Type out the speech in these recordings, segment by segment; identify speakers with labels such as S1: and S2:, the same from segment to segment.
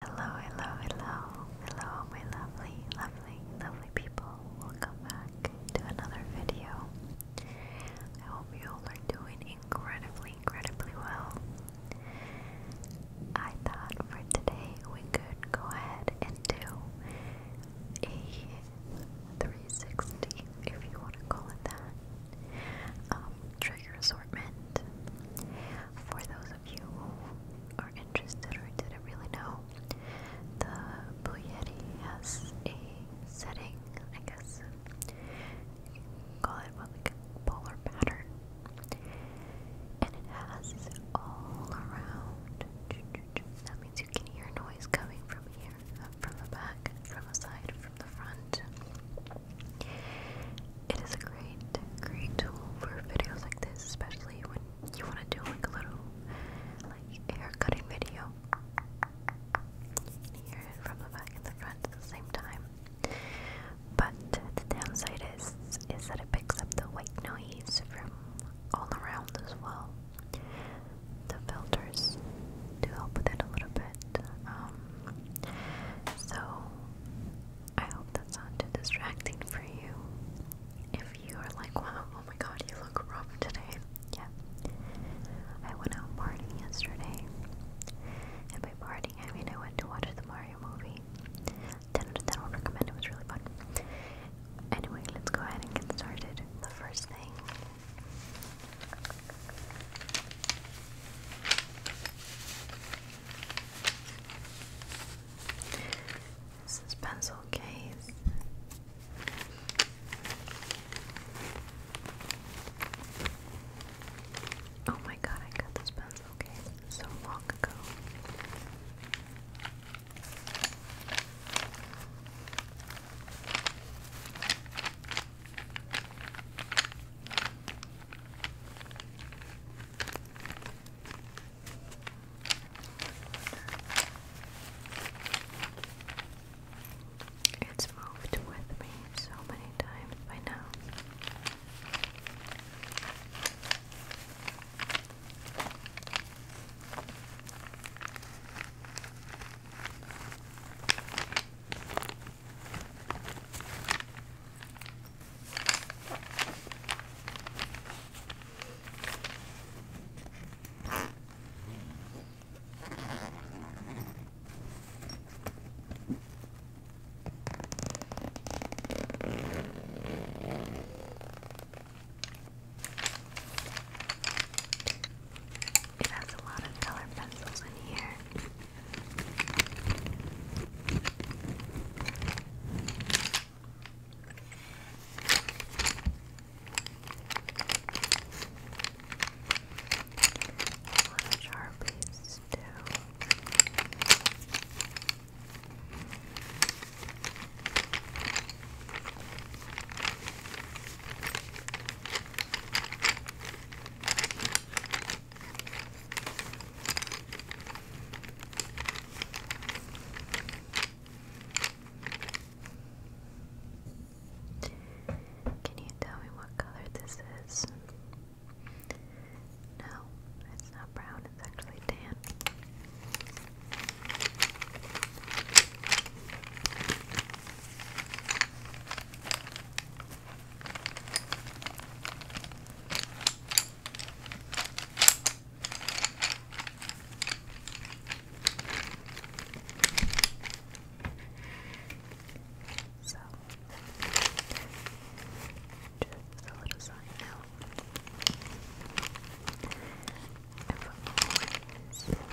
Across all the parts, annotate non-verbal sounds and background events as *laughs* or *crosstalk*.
S1: Hello, hello, hello, hello, my lovely, lovely, lovely people. Welcome back to another video. I hope you all doing incredibly, incredibly well. I thought for today we could go ahead and do a 360, if you want to call it that, um, trigger assortment. For those those you are interested or didn't really know, the Blue has a setting, I guess you can call it like polar pattern. And it has all around. That means you can hear noise coming from here, from the back, from the side, from the front. It is a great, great tool for videos like this, especially when you want to do a little like hair cutting video. You hear it from the back and the front at the same time. But the downside is is that it picks up the white noise from all around as well. The filters do help with it a little bit. Um, so I hope that's not too distracting for you. If you are like, wow, oh my god, you look rough today. Yeah. I went out partying yesterday. And by partying, I mean I went to watch the Mario movie. 10 out recommend, it was really fun. Anyway, let's go ahead and get started. The first thing this is pencil case. Oh my god, I got this pencil case so long ago. It's moved with me so many times by now. It has a lot of colored pencils in here. Sharpies too. Can you tell me what color this is? No, it's not brown, it's actually tan. So, just a little side note. I've always, always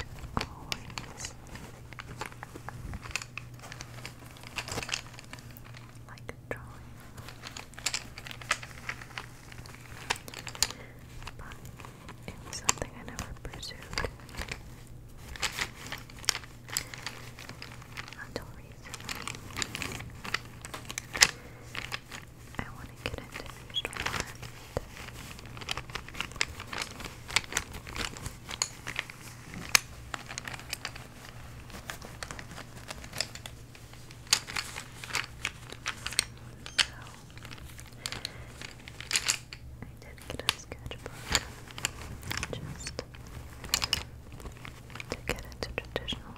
S1: like drawing. But it was something I never pursued until recently. I want to get into visual so, I did get a sketchbook just to get into traditional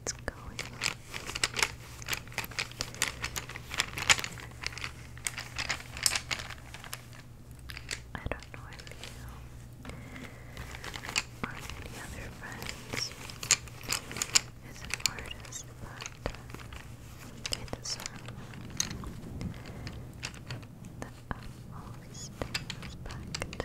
S1: It's going I don't know if you or any other friends is an artist, but they deserve the utmost respect. It's not easy.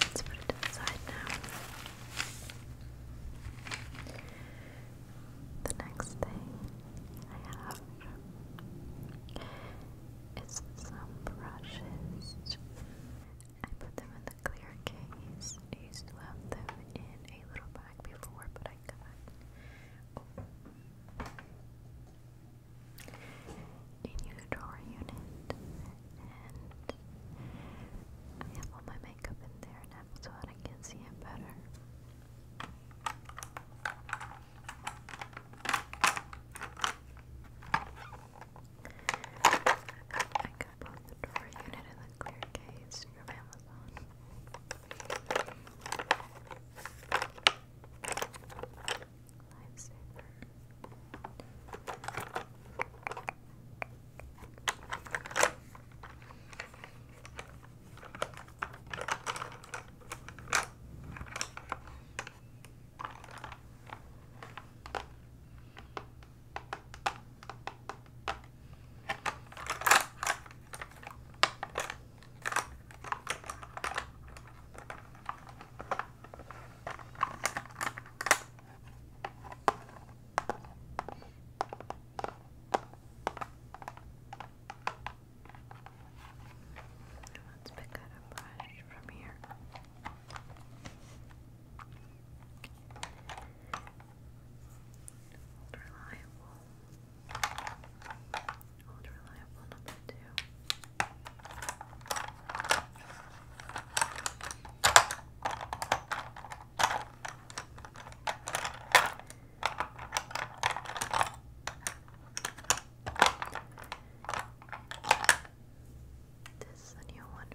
S1: Let's put it to now. The next thing I have is some brushes. I put them in the clear case. I used to have them in a little bag before, but I got. Oh, in your drawer unit, and I have all my makeup in there now so that I can see it better. I got both drawer unit and the clear case from Amazon. Lifesaver. All Let's pick up a brush from here. Reliable. Old reliable number two. This is a new one.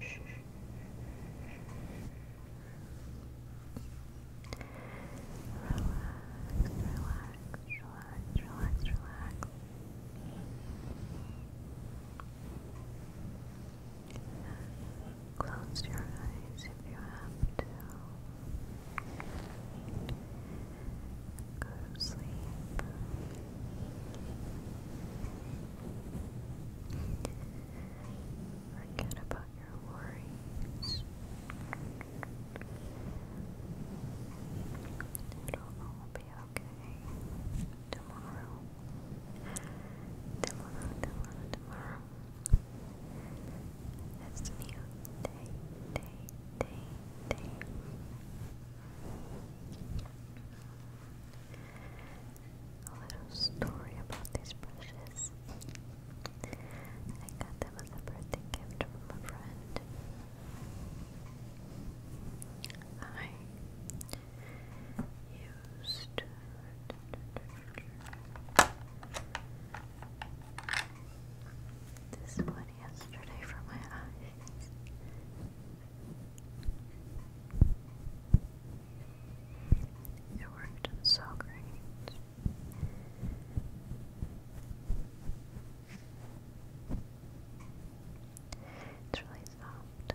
S1: relax, relax, relax. Close your eyes if you have to. Go to sleep. Forget about your worries. It'll be okay. Tomorrow. Tomorrow, tomorrow, tomorrow. It's a new day, day, day, day. A little story about these brushes. I got them as a birthday gift from a friend. I used this one yesterday for my eyes. It worked so great. It's really soft.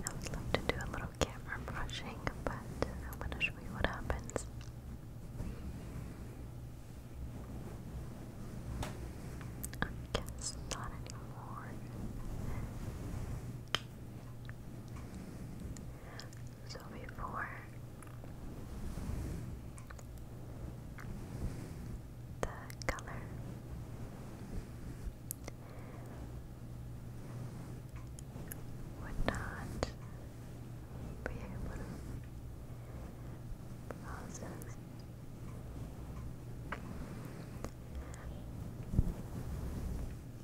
S1: I would love to do a little camera brushing, but I'm going to show you what happens. I guess not anymore. So before the color, would not be able to blossom.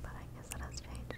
S1: But I guess that has changed.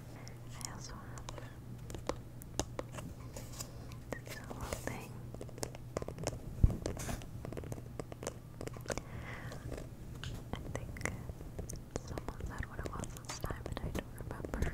S1: I also have this little thing. I think someone said what it was this time, and I don't remember.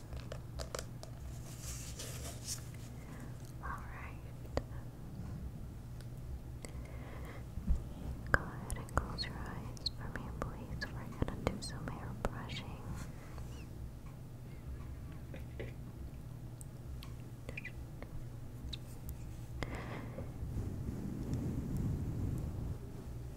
S1: Alright. Go ahead and close your eyes for me, please. We're gonna do some hair brushing.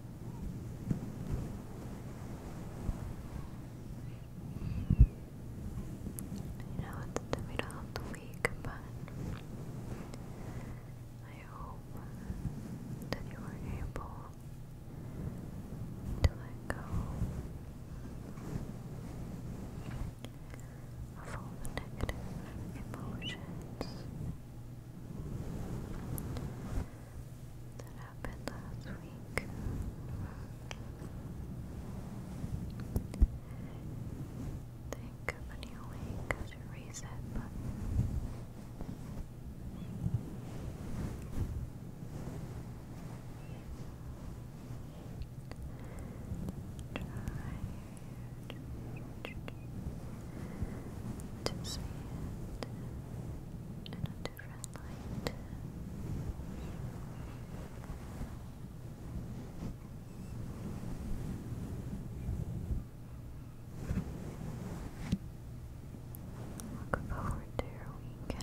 S1: I know it's the middle of the week, but I hope that you were able to let go of all the negative emotions happened last week. Think of a new week as a reset button. Try to see in a Look forward to your weekend.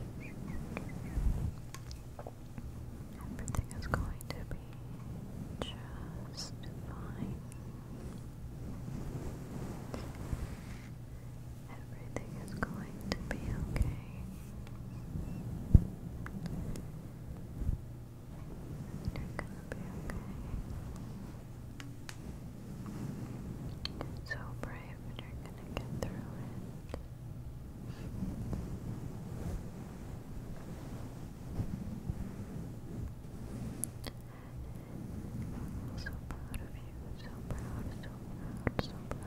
S1: Everything is going to be just fine. Everything is going to be okay you you so brave, and you're gonna get through it. so proud of you, so proud, so proud, so proud.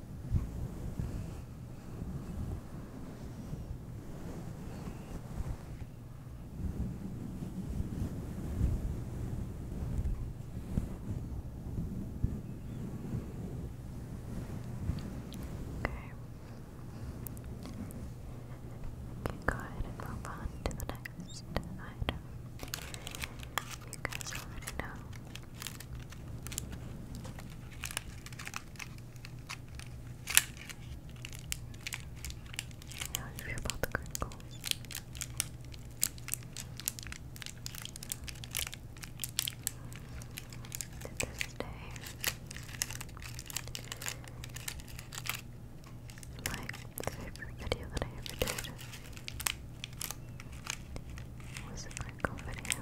S1: Okay, go move on to the next item. You guys already know yeah, I feel about the crinkles. To this day. My favorite video that I ever did was it crinkle video?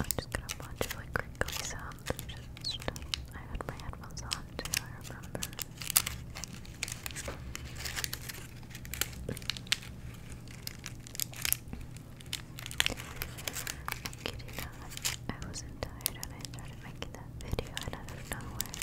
S1: I'm just gonna watch like crinkly sounds. I had my headphones on too. I remember. I'm kidding I wasn't tired and I started making that video and out of nowhere.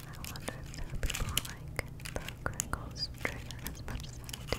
S1: I wonder if people like the crinkles trigger as much do.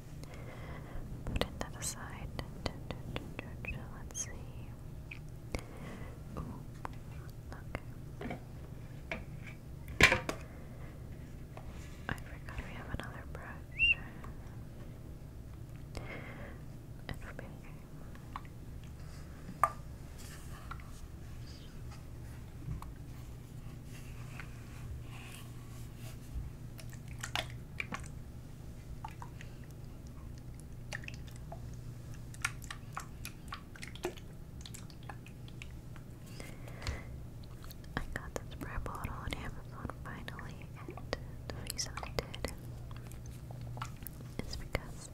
S1: Putting that aside. Let's see. Okay. I forgot we have another brush. I got the spray bottle on Amazon finally, and the reason I did is because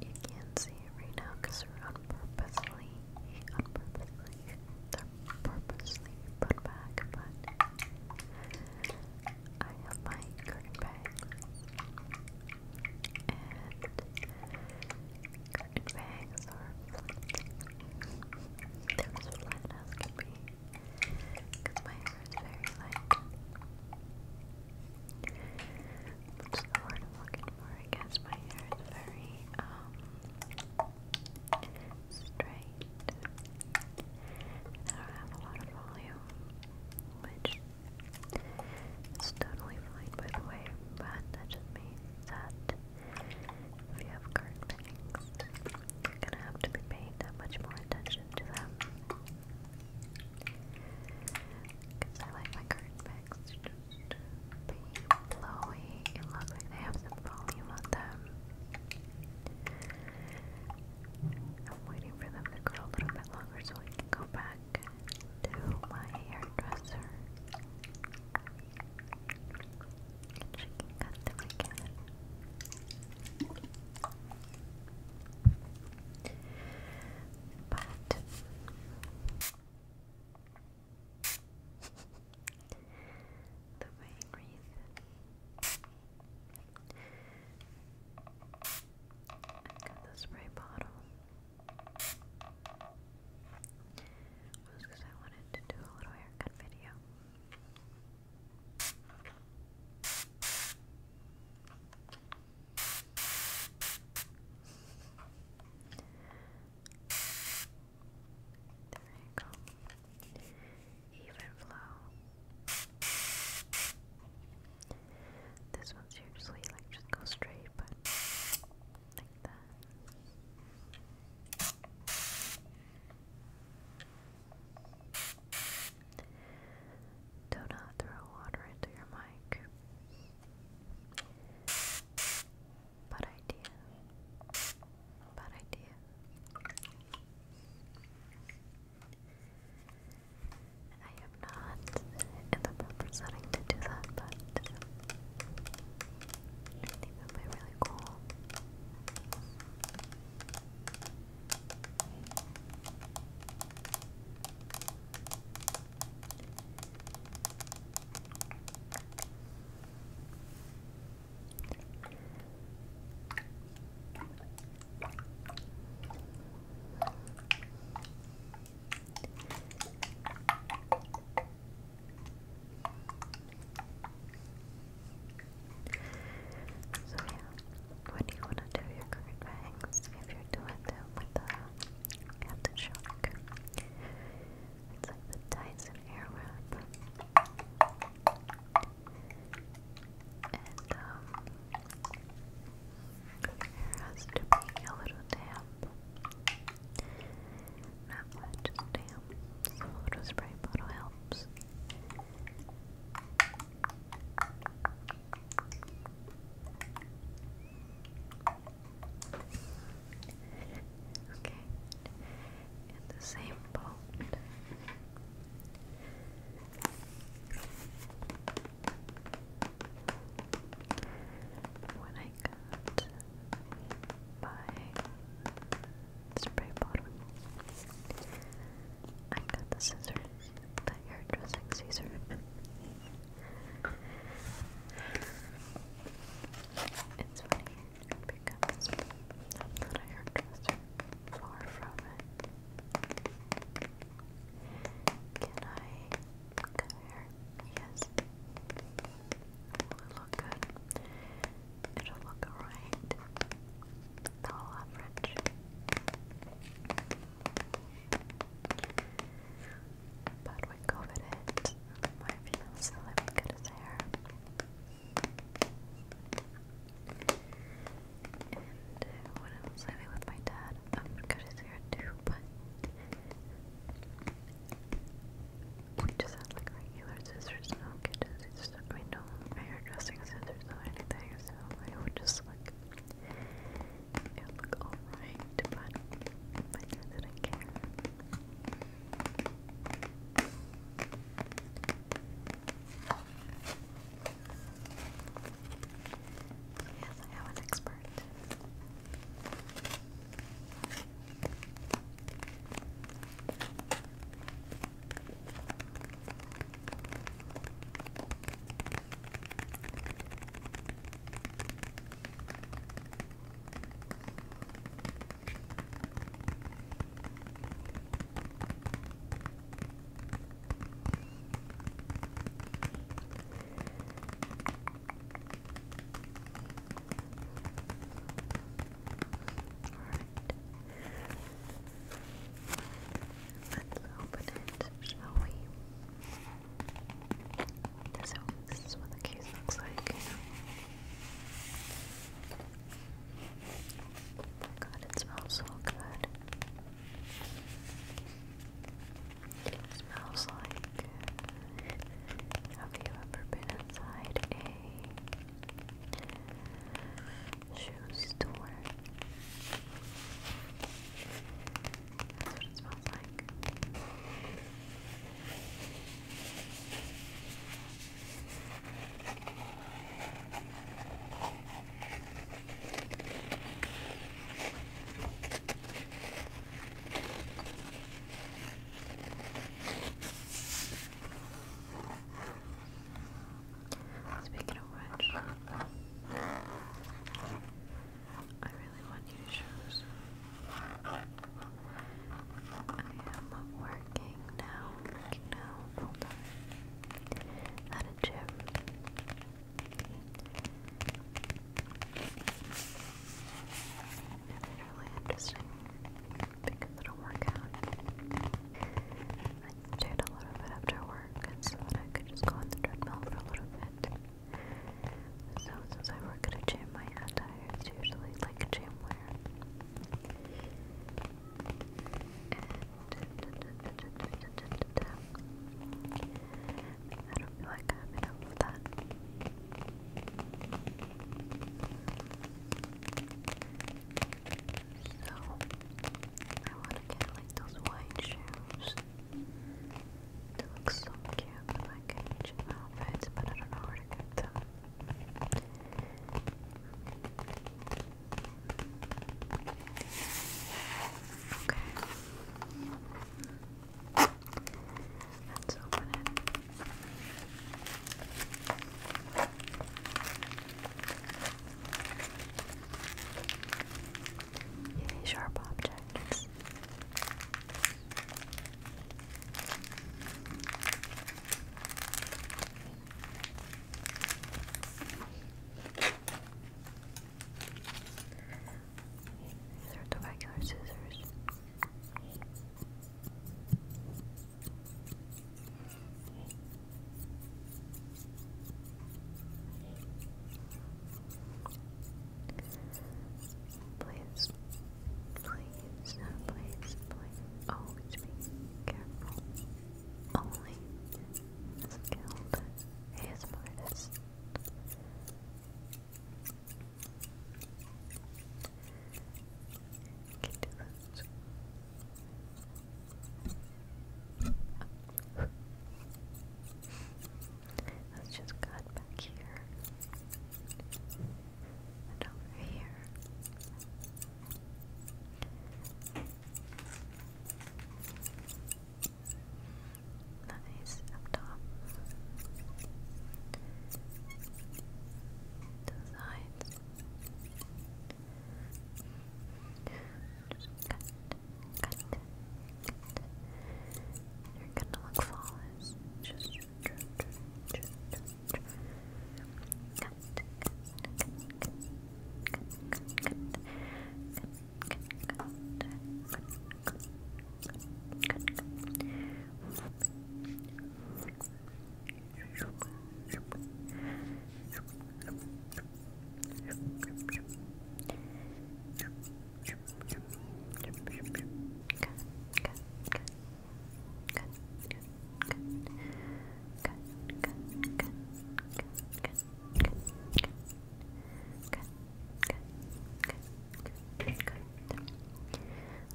S1: you can't see it right now because we're on purposely, like they're purposely put back, but I have my curtain bangs and curtain bangs are flat. They're as flat as can be my hair is very light. What's the word I'm looking for? I guess my hair is very, um, straight. I don't have a lot of volume, which is totally fine by the way, but that just means that if you have card you're gonna have to be paying that much more attention to them. Because I like my card be blowy. they have some volume on them. I'm waiting for them to grow a little bit longer so I can go back to my hairdresser. And she can cut them again. But the main reason I got the spray bottle was because I wanted to do a little haircut video. There you go. Even flow. This one's usually like just go straight, but like that. Do not throw water into your mic. Bad idea. Bad idea. I am not in the proper setting to do that, but it would be really cool. So yeah, what do you want to do your current if you're doing them with the captain shark? It's like the Dyson Airwrap. And, um, there has to be a little damp. Not much damp, a little spray bottle helps. Okay, in the same boat. When I got my spray bottle, I got the scissors, the hairdressing scissors. It's funny pick up his book. Not that Far from it. Can I cut hair? Yes. Will look good? It'll look alright. All average. But we're coveted by female so let his hair. And uh, what else I with my dad? I cut his hair too, but we just had like regular scissors, no kitchen no hairdressing scissors or anything, so I would just like it look alright, but I didn't care. Yes, I am an expert. Let's open it, shall we? So this is what the case looks like. Oh god, it smells so good. It smells like. Have you ever been inside a shoe store? That's what it smells like. Speaking of which, I really want you to show some. I am working now, working now, hold on, at a gym. It's really interesting, because it'll work out. I did a little bit after work, so that I could just go on the treadmill for a little bit. So since I work at a gym, my attire is usually like gym wear. *laughs* I don't feel like I have enough that. So I want to get like those wide shoes. They look so cute, like Egypt outfits, but I don't know where to get them. Okay. Let's open it. Yay, sharp objects. These are the regular scissors. Please, please, please, please, always be careful. Only skilled ASM artists. Let's just cut back here and over here. Nice up top. The sides. Just cut, cut, you're gonna look flawless. Good, good,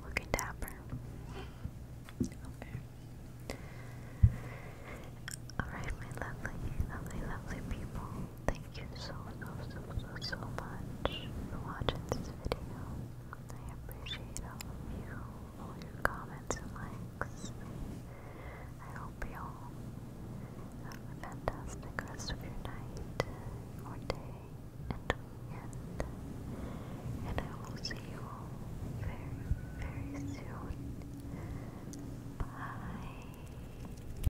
S1: Looking dapper. Alright, my lovely, lovely, lovely people. Thank you so, so, so, so, much for watching this video. I appreciate all of you, all your comments and likes. I hope you all have a fantastic rest of your night, or day, and weekend. And I will see you all very, very soon. Bye.